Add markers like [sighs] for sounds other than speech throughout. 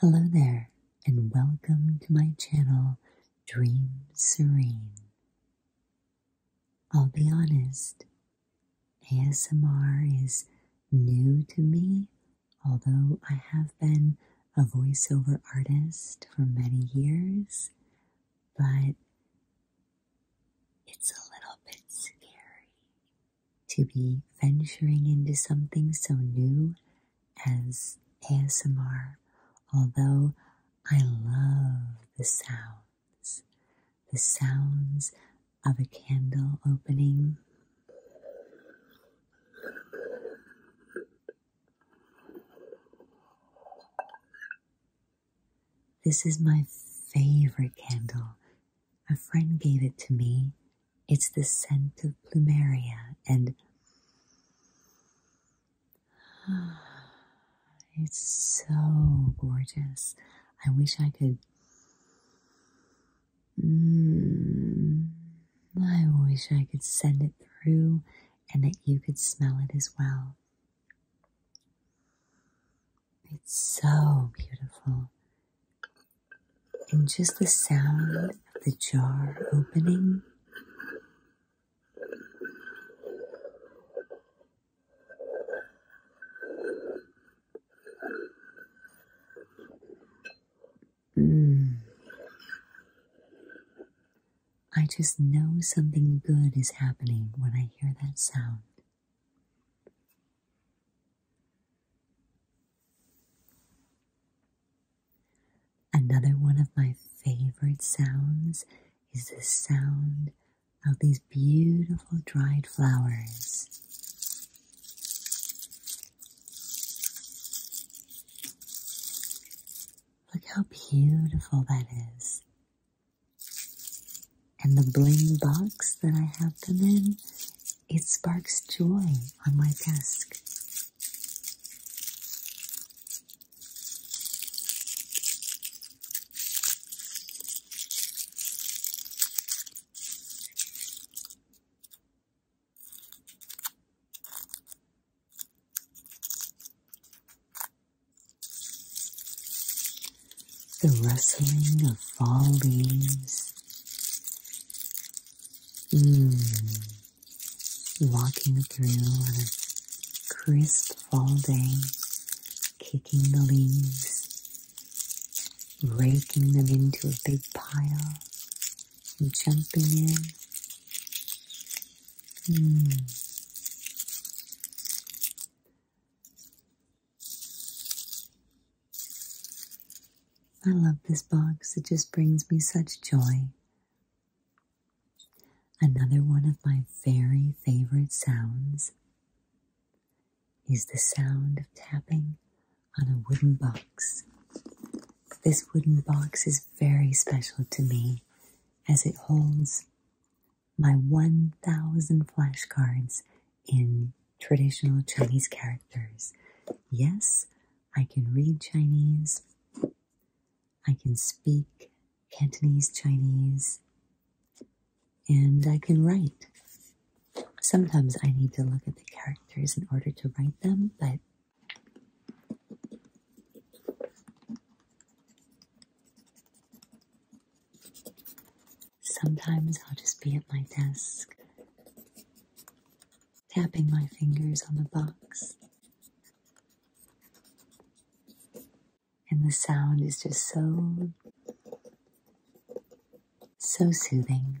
Hello there, and welcome to my channel, Dream Serene. I'll be honest, ASMR is new to me, although I have been a voiceover artist for many years, but it's a little bit scary to be venturing into something so new as ASMR, although I love the sounds, the sounds of a candle opening. This is my favorite candle a friend gave it to me. It's the scent of plumeria and [sighs] it's so gorgeous. I wish I could. Mm, I wish I could send it through and that you could smell it as well. It's so beautiful and just the sound of the jar opening. Mm. I just know something good is happening when I hear that sound. Another one of my favorite sounds is the sound of these beautiful dried flowers. Look how beautiful that is. And the bling box that I have them in it sparks joy on my desk. The rustling of fall leaves Mm. Walking through on a crisp fall day, kicking the leaves, raking them into a big pile, and jumping in. Mm. I love this box. It just brings me such joy. Another one of my very favorite sounds is the sound of tapping on a wooden box. This wooden box is very special to me as it holds my 1,000 flashcards in traditional Chinese characters. Yes, I can read Chinese. I can speak Cantonese Chinese. And I can write. Sometimes I need to look at the characters in order to write them, but Sometimes I'll just be at my desk, tapping my fingers on the box. And the sound is just so, so soothing.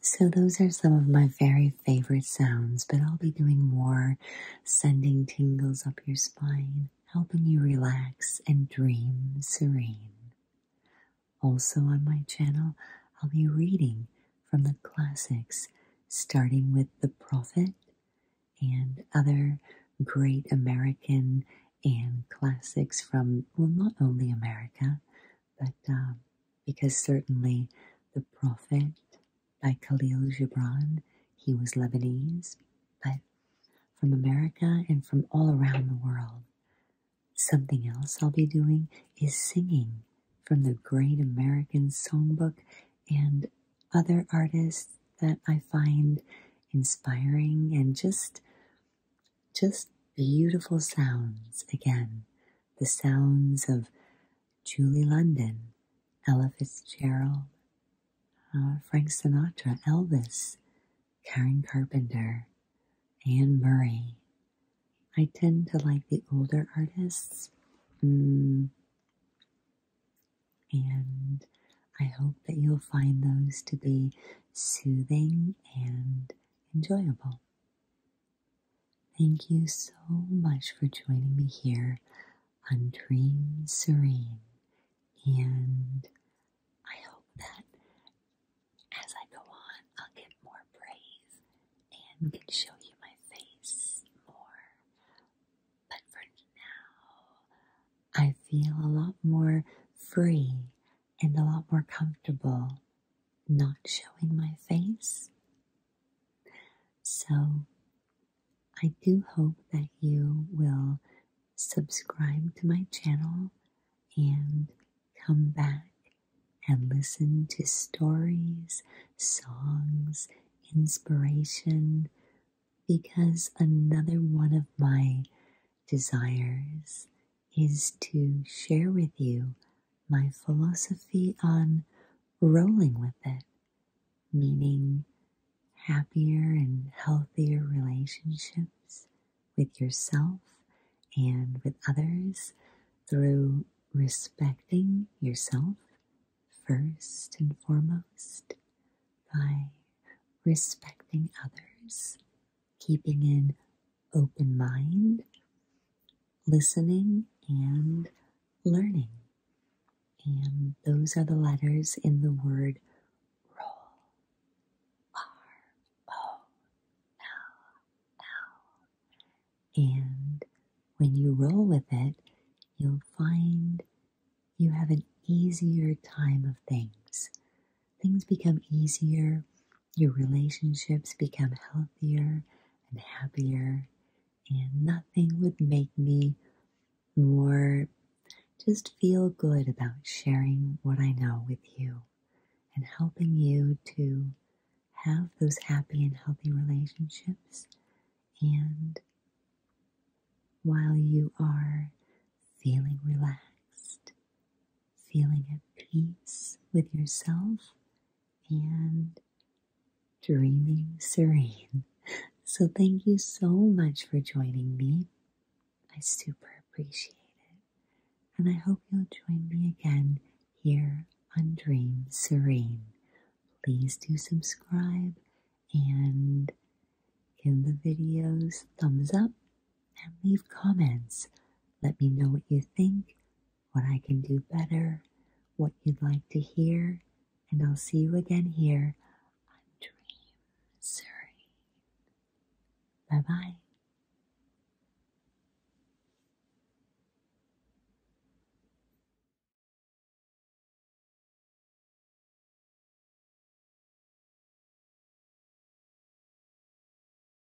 So those are some of my very favorite sounds, but I'll be doing more sending tingles up your spine, helping you relax and dream serene. Also on my channel, I'll be reading from the classics, starting with The Prophet and other great American and classics from, well, not only America, but um, because certainly the Prophet by Khalil Gibran, he was Lebanese, but from America and from all around the world. Something else I'll be doing is singing from the Great American Songbook and other artists that I find inspiring and just just beautiful sounds again the sounds of Julie London, Ella Fitzgerald, uh, Frank Sinatra, Elvis, Karen Carpenter, Anne Murray. I tend to like the older artists. Mm. And I hope that you'll find those to be soothing and enjoyable. Thank you so much for joining me here on Dream Serene. And I hope that as I go on, I'll get more brave and can show you my face more. But for now, I feel a lot more free and a lot more comfortable not showing my face. So, I do hope that you will subscribe to my channel and come back and listen to stories, songs, inspiration, because another one of my desires is to share with you my philosophy on rolling with it, meaning happier and healthier relationships with yourself and with others through respecting yourself first and foremost by respecting others keeping an open mind, listening, and learning. And those are the letters in the word roll. R O L L. And when you roll with it, you'll find you have an easier time of things. Things become easier your relationships become healthier and happier. And nothing would make me more just feel good about sharing what I know with you and helping you to have those happy and healthy relationships. And while you are feeling relaxed feeling at peace with yourself and dreaming serene. So, thank you so much for joining me. I super appreciate it. And I hope you'll join me again here on Dream Serene. Please do subscribe and give the videos thumbs up and leave comments. Let me know what you think what I can do better, what you'd like to hear, and I'll see you again here on Dream Surrey. Bye bye.